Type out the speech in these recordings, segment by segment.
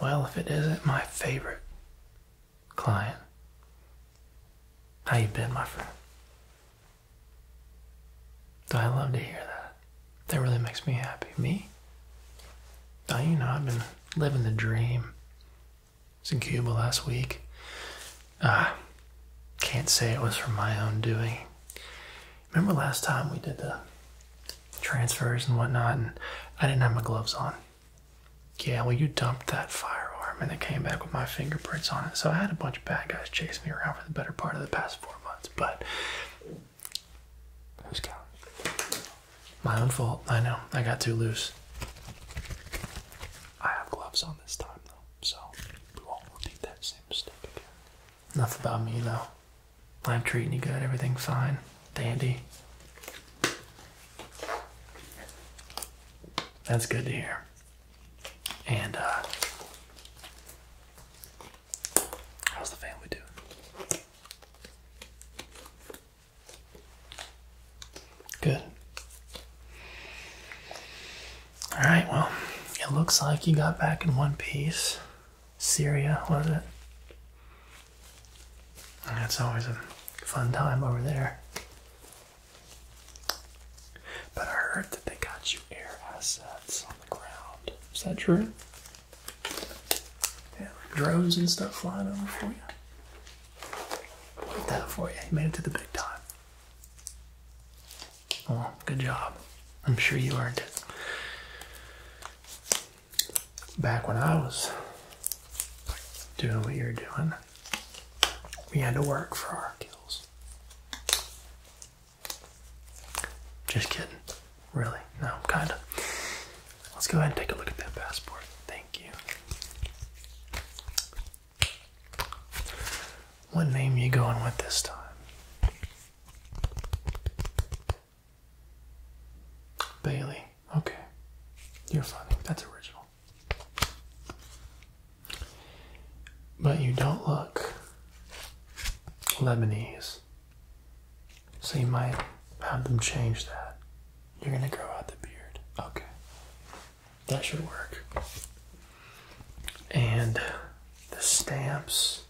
Well, if it isn't my favorite client. How you been, my friend? I love to hear that. That really makes me happy. Me? Oh, you know, I've been living the dream. It's in Cuba last week. Ah, can't say it was from my own doing. Remember last time we did the transfers and whatnot, and I didn't have my gloves on. Yeah, well, you dumped that firearm, and it came back with my fingerprints on it. So I had a bunch of bad guys chasing me around for the better part of the past four months, but who's counting? My own fault. I know. I got too loose. I have gloves on this time, though, so we won't repeat that same mistake again. Enough about me, though. I'm treating you good. Everything's fine. Dandy. That's good to hear. And, uh, how's the family doing? Good. Alright, well, it looks like you got back in one piece. Syria, was it? And that's always a fun time over there. But I heard that they got you air assets on the ground. Is that true? drones and stuff flying over for you. that for you. You made it to the big time. Well, good job. I'm sure you earned it back when I was doing what you're doing, we had to work for our kills. Just kidding. Really? No, kind of. Let's go ahead and take a look at that passport. Thank you. What name you going with this time? Bailey. Okay. You're funny. That's original. But you don't look Lebanese. So you might have them change that. You're gonna grow out the beard. Okay. That should work. And the stamps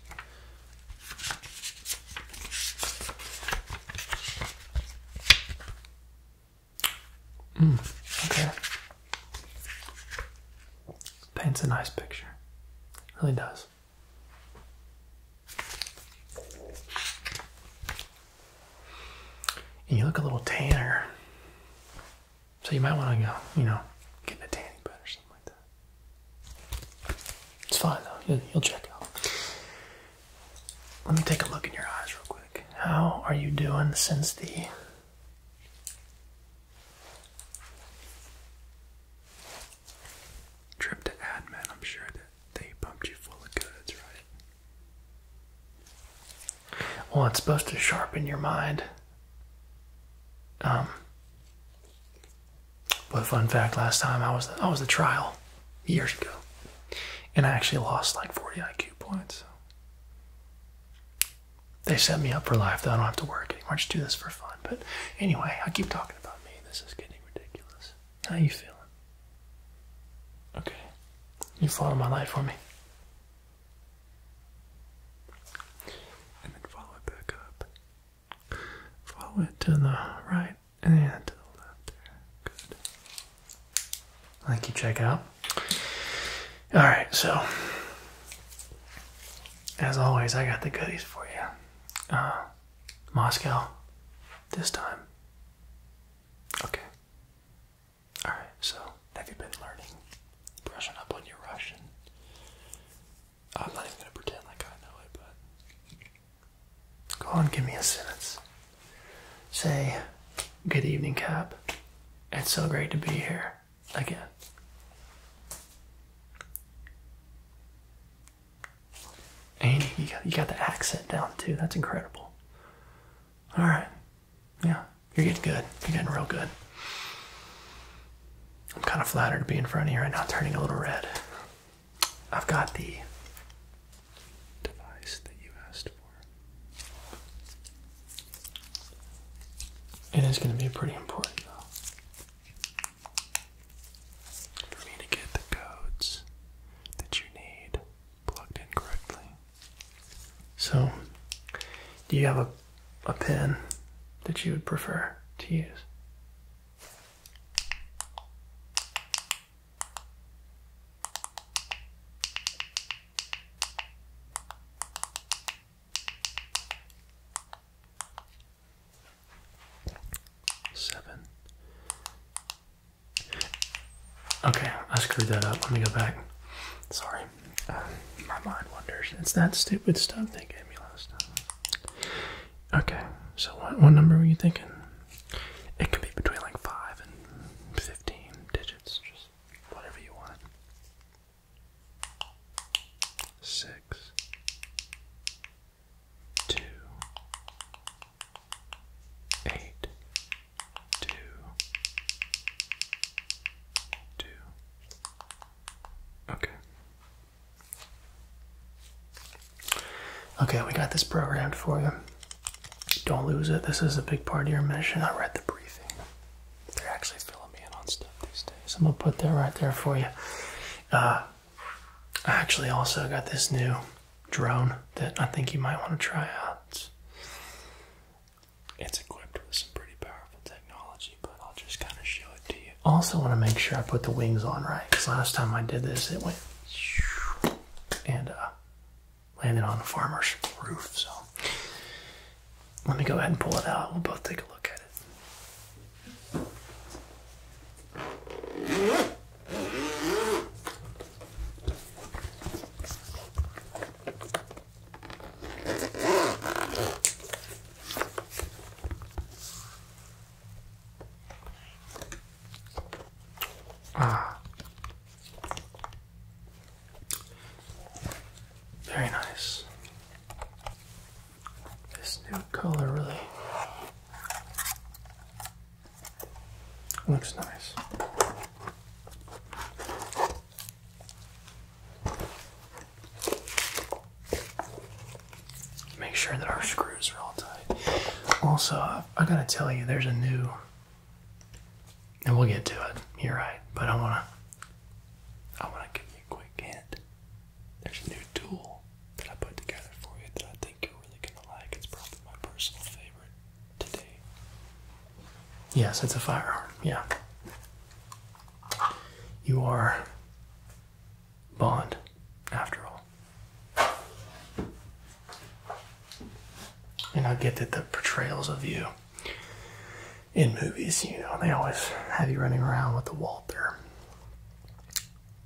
Mm, okay. Paints a nice picture. Really does. And you look a little tanner. So you might want to go, you know, get a tanning bed or something like that. It's fine though. You'll, check out. Let me take a look in your eyes real quick. How are you doing since the trip to admin? I'm sure they pumped you full of goods, right? Well, it's supposed to sharpen your mind. Um, but fun fact, last time I was I was the trial years ago, and I actually lost like 40 IQ points. They set me up for life, though. I don't have to work anymore. I just do this for fun. But anyway, I keep talking about me. This is getting ridiculous. How you feeling? Okay, you follow my life for me, and then follow it back up. Follow it to the right and to the left. Good. Thank you, check out. All right, so as always, I got the goodies for you. Uh, Moscow, this time. Okay. All right, so have you been learning, brushing up on your Russian? I'm not even gonna pretend like I know it, but Go on, give me a sentence. Say, Good evening, Cap. It's so great to be here again. Andy, you got, the accent down too. That's incredible. All right. Yeah, you're getting good. You're getting real good. I'm kind of flattered to be in front of you right now, turning a little red. I've got the device that you asked for. It is going to be pretty important, though, for me to get the codes that you need plugged in correctly. So, do you have a, a pen that you would prefer to use? Seven. Okay, I screwed that up. Let me go back. Sorry. Um, my mind wanders. It's that stupid stuff they gave me last time. Okay, so what, what number were you thinking? It can be between like 5 and 15 digits, just whatever you want. 6 Okay. Okay, we got this programmed for you. Don't lose it. This is a big part of your mission. I read the briefing. They're actually filling me in on stuff these days. I'm gonna put that right there for you. Uh, I actually also got this new drone that I think you might want to try out. It's equipped with some pretty powerful technology, but I'll just kind of show it to you. Also, want to make sure I put the wings on right because last time I did this, it went and uh, landed on a farmer's roof. So let me go ahead and pull it out. We'll both take a look at it. Ah. Very nice. This new color really looks nice make sure that our screws are all tight. Also, I gotta tell you, there's a new, and we'll get to it. You're right, but I wanna, I wanna give you a quick hint. There's a new tool that I put together for you that I think you're really gonna like. It's probably my personal favorite today. Yes, it's a firearm. Yeah. You are Bond, after all. And I get that the portrayals of you in movies, you know, they always have you running around with the Walter.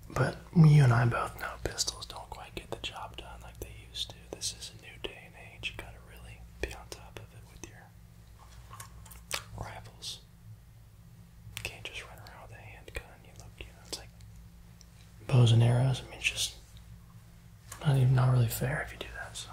But you and I both know pistols don't quite get the job done like they used to. This is a new day and age. You gotta really be on top of it with your rifles. Can't just run around with a handgun. You look, you know, it's like bows and arrows. I mean, it's just not even not really fair if you do that. So.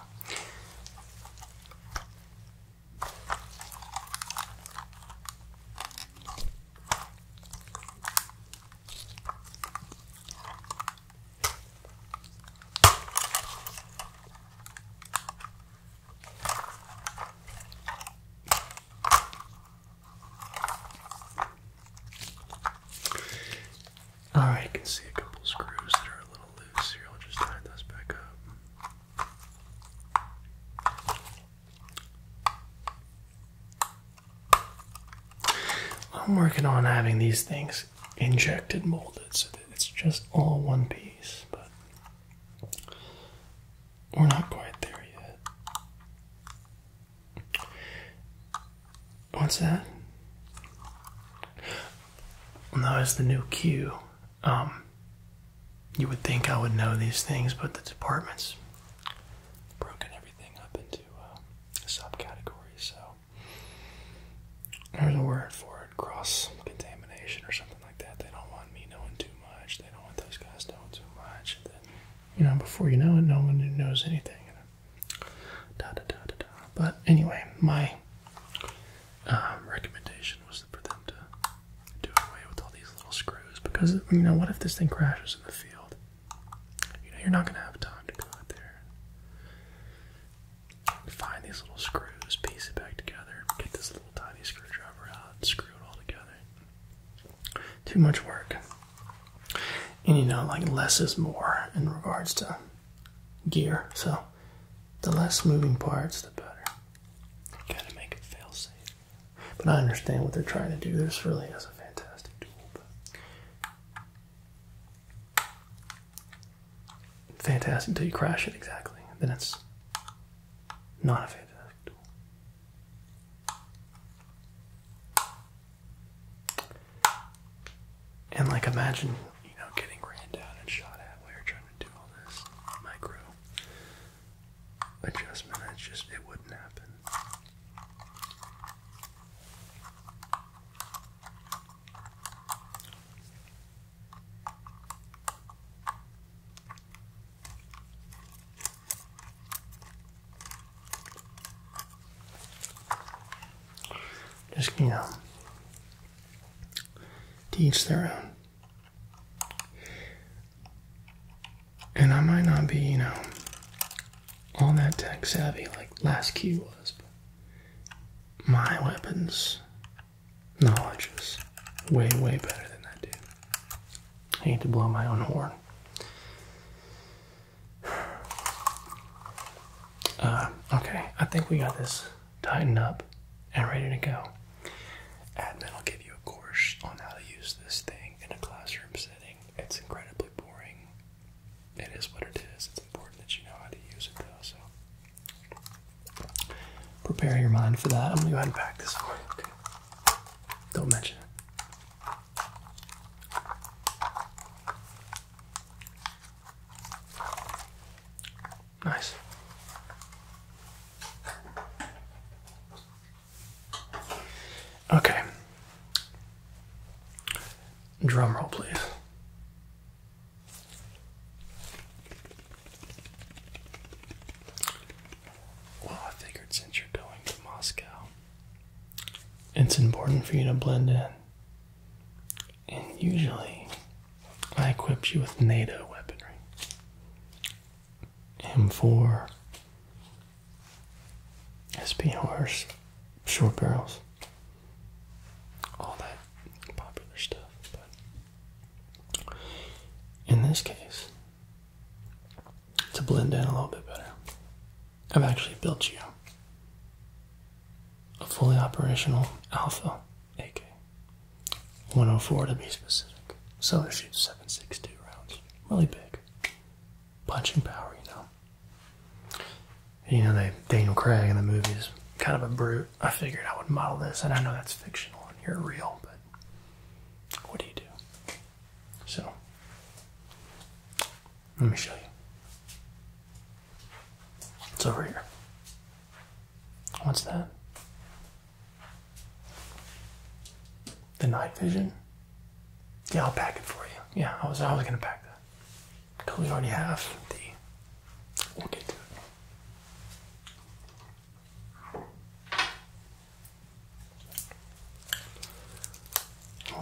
Alright, I can see a couple screws that are a little loose here. I'll just tie those back up. I'm working on having these things injected molded so that it's just all one piece, but we're not quite there yet. What's that? Well, that the new cue. Um, you would think I would know these things, but the department's broken everything up into uh, subcategories, so there's a word for it cross contamination or something like that. They don't want me knowing too much, they don't want those guys knowing too much you know, before you know it, no one knows anything. But anyway, my um, recommendation was for them to do away with all these little screws because, you know, what if this thing crashes in the field? You know, you're not going to have time to go out there and find these little screws, piece it back together, get this little tiny screwdriver out, screw it all together too much work. And you know, like less is more in regards to gear. So the less moving parts, the better. Gotta make it fail safe. But I understand what they're trying to do. This really is a fantastic tool. But fantastic until you crash it exactly. Then it's not a fantastic tool. And like imagine, you know, getting ran down and shot at while you're trying to do all this micro adjustment. It's just it wouldn't happen. Just, you know, teach their own. And I might not be, you know, all that tech savvy like Last key was, but my weapons knowledge is way, way better than that dude. I need to blow my own horn. Uh, okay, I think we got this tightened up and ready to go. And I'll give you a course on how to use this thing in a classroom setting. It's incredibly boring. It is what it is. It's important that you know how to use it, though. So prepare your mind for that. I'm gonna go ahead and pack this for Don't mention it. Nice. Okay. Drum roll, please. Well, I figured since you're going to Moscow, it's important for you to blend in. And usually, I equip you with NATO weaponry M4, SPARS, short barrels, all that popular stuff. But in this case, to blend in a little bit better. I've actually built you a fully operational Alpha AK 104 to be specific. So it shoots 7.62 rounds, really big, punching power, you know. you know, they Daniel Craig in the movie is kind of a brute. I figured I would model this, and I know that's fictional and you're real, but what do you do? So, let me show you. It's over here. What's that? The night vision. Yeah, I'll pack it for you. Yeah, I was I gonna pack that. Because we already have the we'll get to it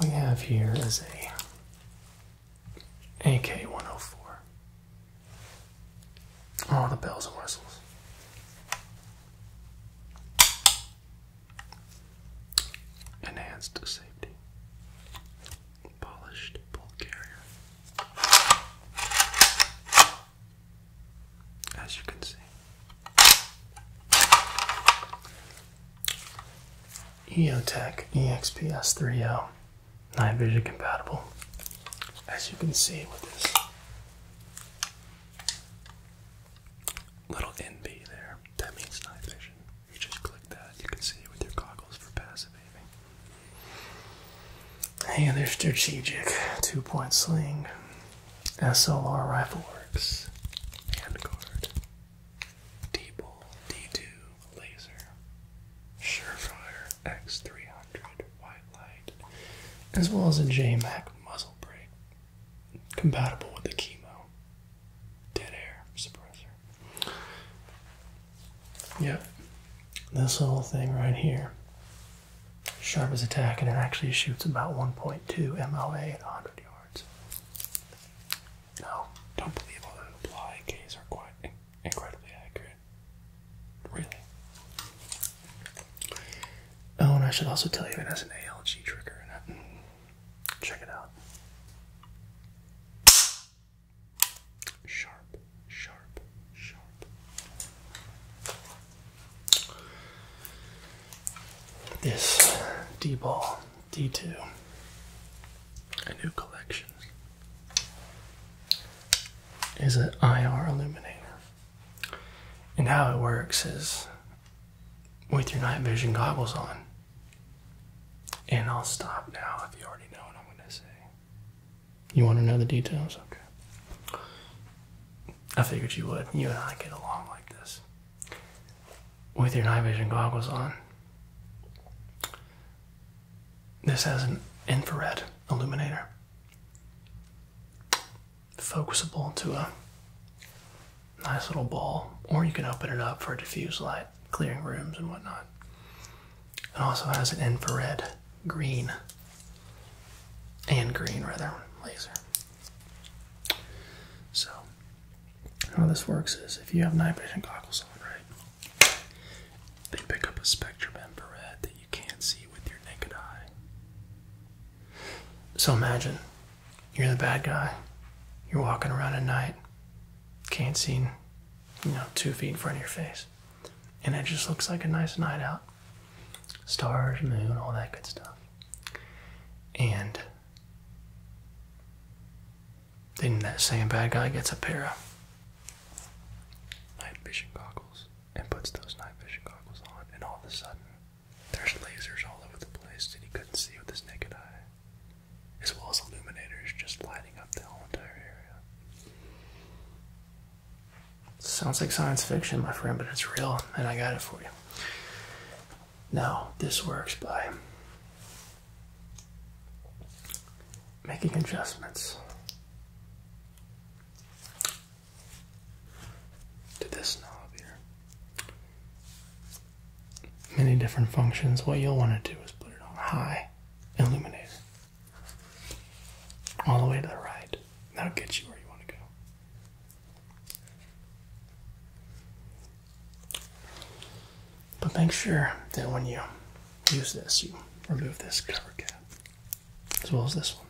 we have here is a AK-104. All the bells and whistles. Enhanced safety. Polished bolt carrier. As you can see. EOTech EXPS3O, night vision compatible, as you can see with this little NB there. That means night vision. You just click that, you can see it with your goggles for passive aiming. And their strategic two point sling. SLR Rifle Works, Vanguard, Diebel D2 Laser, Surefire X300 White Light, as well as a J Mac muzzle brake, compatible with the chemo, dead air suppressor. Yep, this little thing right here. Sharp as a tack, and it actually shoots about 1.2 MOA at 100 yards. No, don't believe all the apply Ks are quite incredibly accurate. Really. Oh, and I should also tell you it has an ALG trigger in it. Check it out. Sharp, sharp, sharp. This D ball D2. A new collection is an IR illuminator. And how it works is with your night vision goggles on. And I'll stop now if you already know what I'm going to say. You want to know the details? Okay. I figured you would. You and I get along like this with your night vision goggles on. This has an infrared illuminator, focusable to a nice little ball, or you can open it up for a diffuse light, clearing rooms and whatnot. It also has an infrared green and green rather laser. So, how this works is if you have night vision goggles on, right, they pick up a spectrum in red that you can't see with your naked eye. So imagine you're the bad guy, you're walking around at night, can't see, you know, two feet in front of your face, and it just looks like a nice night out. Stars, moon, all that good stuff. And then that same bad guy gets a pair of night vision goggles and puts those night vision goggles on, and all of a sudden, there's lasers all over the place that he couldn't see with his naked eye, as well as illuminators just lighting up the whole entire area. Sounds like science fiction, my friend, but it's real, and I got it for you. Now, this works by making adjustments to this knob here. Many different functions. What you'll want to do is put it on high illuminator all the way to the right. That'll get you where you want to go. But make sure that when you use this, you remove this cover cap as well as this one.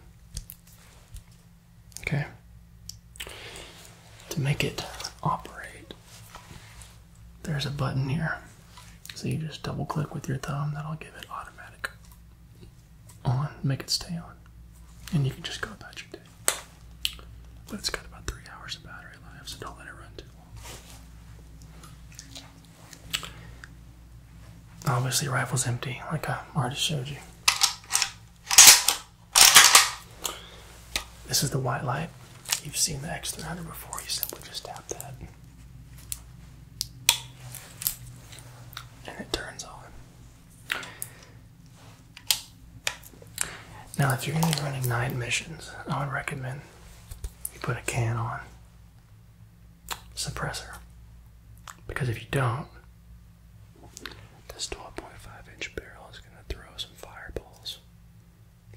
Okay? To make it operate, there's a button here. So you just double click with your thumb, that'll give it automatic on, make it stay on. And you can just go about your day. But it's got about three hours of battery life, so don't let it run too long. Obviously, rifle's empty, like I already showed you. This is the white light. You've seen the X300 before, you simply just tap that. And it turns on. Now, if you're going to be running night missions, I would recommend you put a can on suppressor. Because if you don't, this 12.5 inch barrel is going to throw some fireballs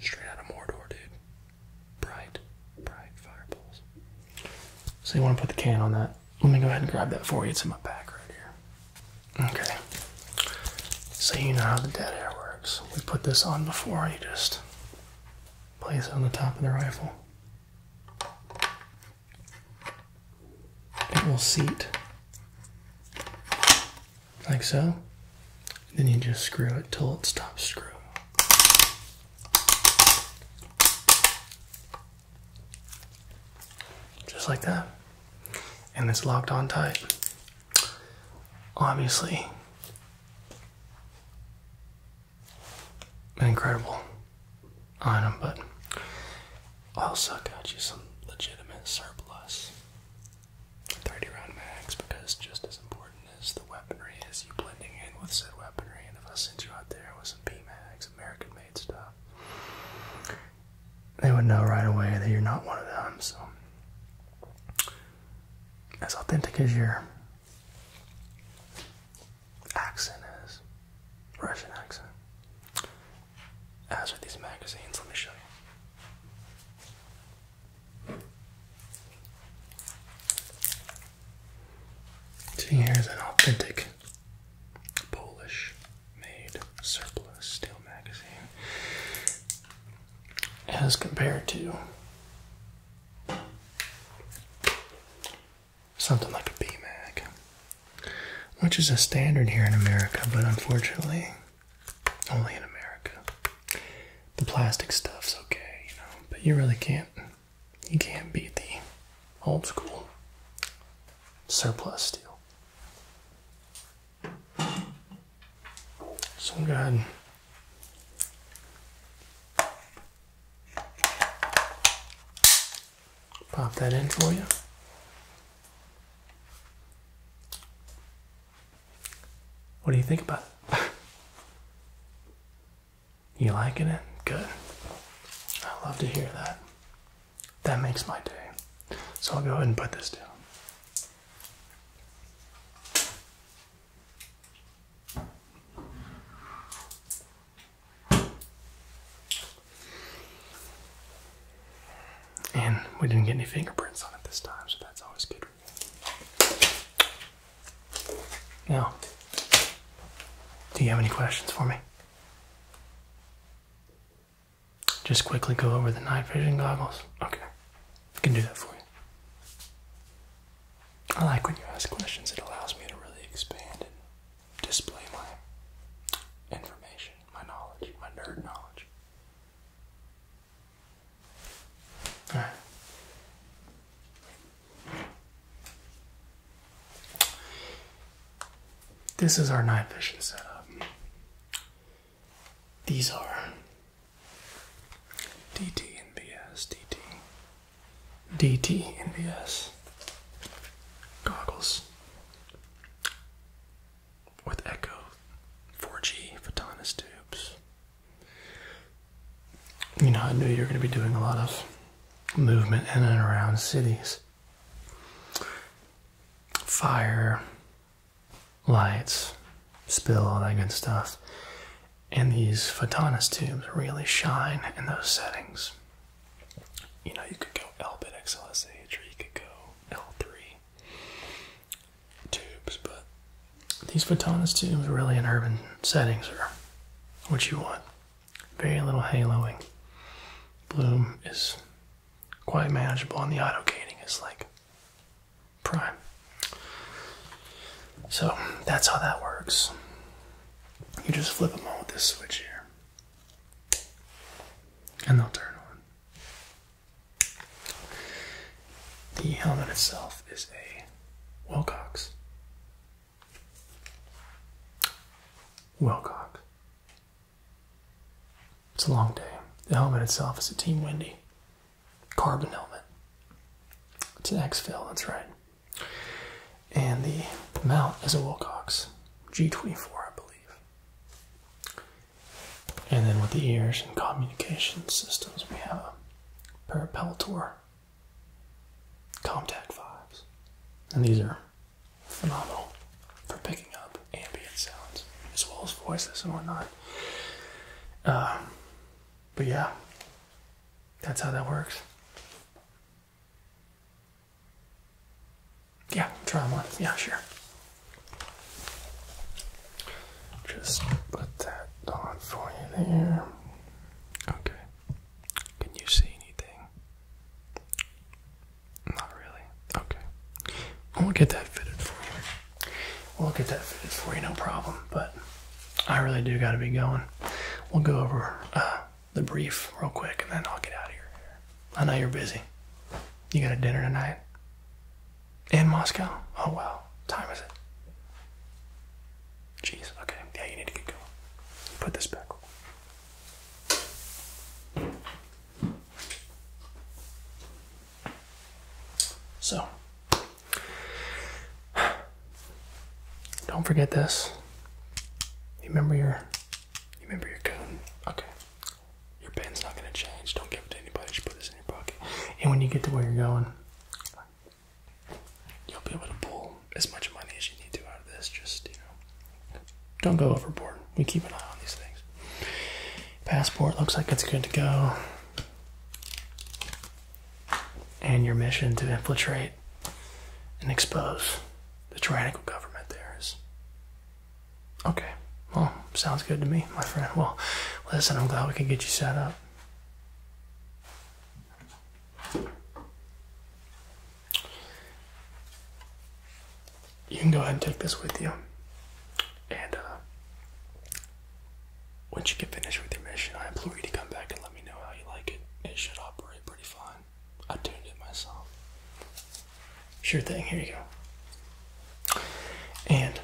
straight out of Mordor, dude. Bright, bright fireballs. So you want to put the can on that. Let me go ahead and grab that for you. It's in my pack right here. Okay. So you know how the dead air works. We put this on before you just place it on the top of the rifle. It will seat like so. Then you just screw it till it stops screwing. Just like that. And it's locked on tight. Obviously, an incredible item, but also got you some legitimate surplus. 30 round mags, because just as important as the weaponry is you blending in with said weaponry. And if I sent you out there with some P mags, American made stuff, they would know right away that you're not one of them. So, as authentic as your accent is, Russian accent, as are these magazines, let me show you. here's an authentic Polish made surplus steel magazine as compared to something like a B-Mag, which is a standard here in America, but unfortunately, only in America. The plastic stuff's okay, you know, but you really can't you can't beat the old school surplus steel. So I'm going to pop that in for you. What do you think about it? you liking it? Good. I love to hear that. That makes my day. So I'll go ahead and put this down. And we didn't get any fingerprints on it this time, so that's always good. Now, do you have any questions for me? Just quickly go over the night vision goggles. Okay, I can do that for you. I like when you ask questions, it allows me to really expand and display my information, my knowledge, my nerd knowledge. Alright. This is our night vision setup. These are DT and NBS, DT, DT NBS goggles with Echo 4G photonis tubes. You know, I knew you were going to be doing a lot of movement in and around cities fire, lights, spill, all that good stuff. And these photonis tubes really shine in those settings. You know, you could go L bit XLSH or you could go L3 tubes, but these photonis tubes really in urban settings are what you want. Very little haloing. Bloom is quite manageable, and the auto gating is like prime. So that's how that works. You just flip them on with this switch here, and they'll turn on. The helmet itself is a Wilcox. Wilcox. It's a long day. The helmet itself is a Team Windy carbon helmet. It's an X-Fill, that's right. And the, mount is a Wilcox G24, I believe. And then with the ears and communication systems, we have a pair of Peltor 5s. And these are phenomenal for picking up ambient sounds as well as voices and whatnot. Um, but yeah, that's how that works. Yeah, try one. Yeah, sure. Just put that on for you there. Okay. Can you see anything? Not really. Okay. I'll get that fitted for you. We'll get that fitted for you, no problem. But I really do got to be going. We'll go over uh, the brief real quick, and then I'll get out of here. I know you're busy. You got a dinner tonight in Moscow. Oh wow, time is it? Jeez. Okay. Yeah, you need to get going. Put this back. So, don't forget this. You remember your, you remember your cone. Okay, your pen's not gonna change. Don't give it to anybody. Just put this in your pocket. And when you get to where you're going, you'll be able to pull as much money as you need to out of this. Just you know, don't go overboard. We keep an eye on these things. Passport looks like it's good to go. And your mission to infiltrate and expose the tyrannical government there is. Okay. Well, sounds good to me, my friend. Well, listen, I'm glad we can get you set up you can go ahead and take this with you. And uh, once you get finished with your mission, I implore you to come back and let me know how you like it. It should operate pretty fine. I tuned it myself. Sure thing, here you go. And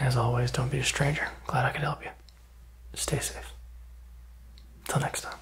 as always, don't be a stranger. Glad I could help you. Stay safe. Till next time.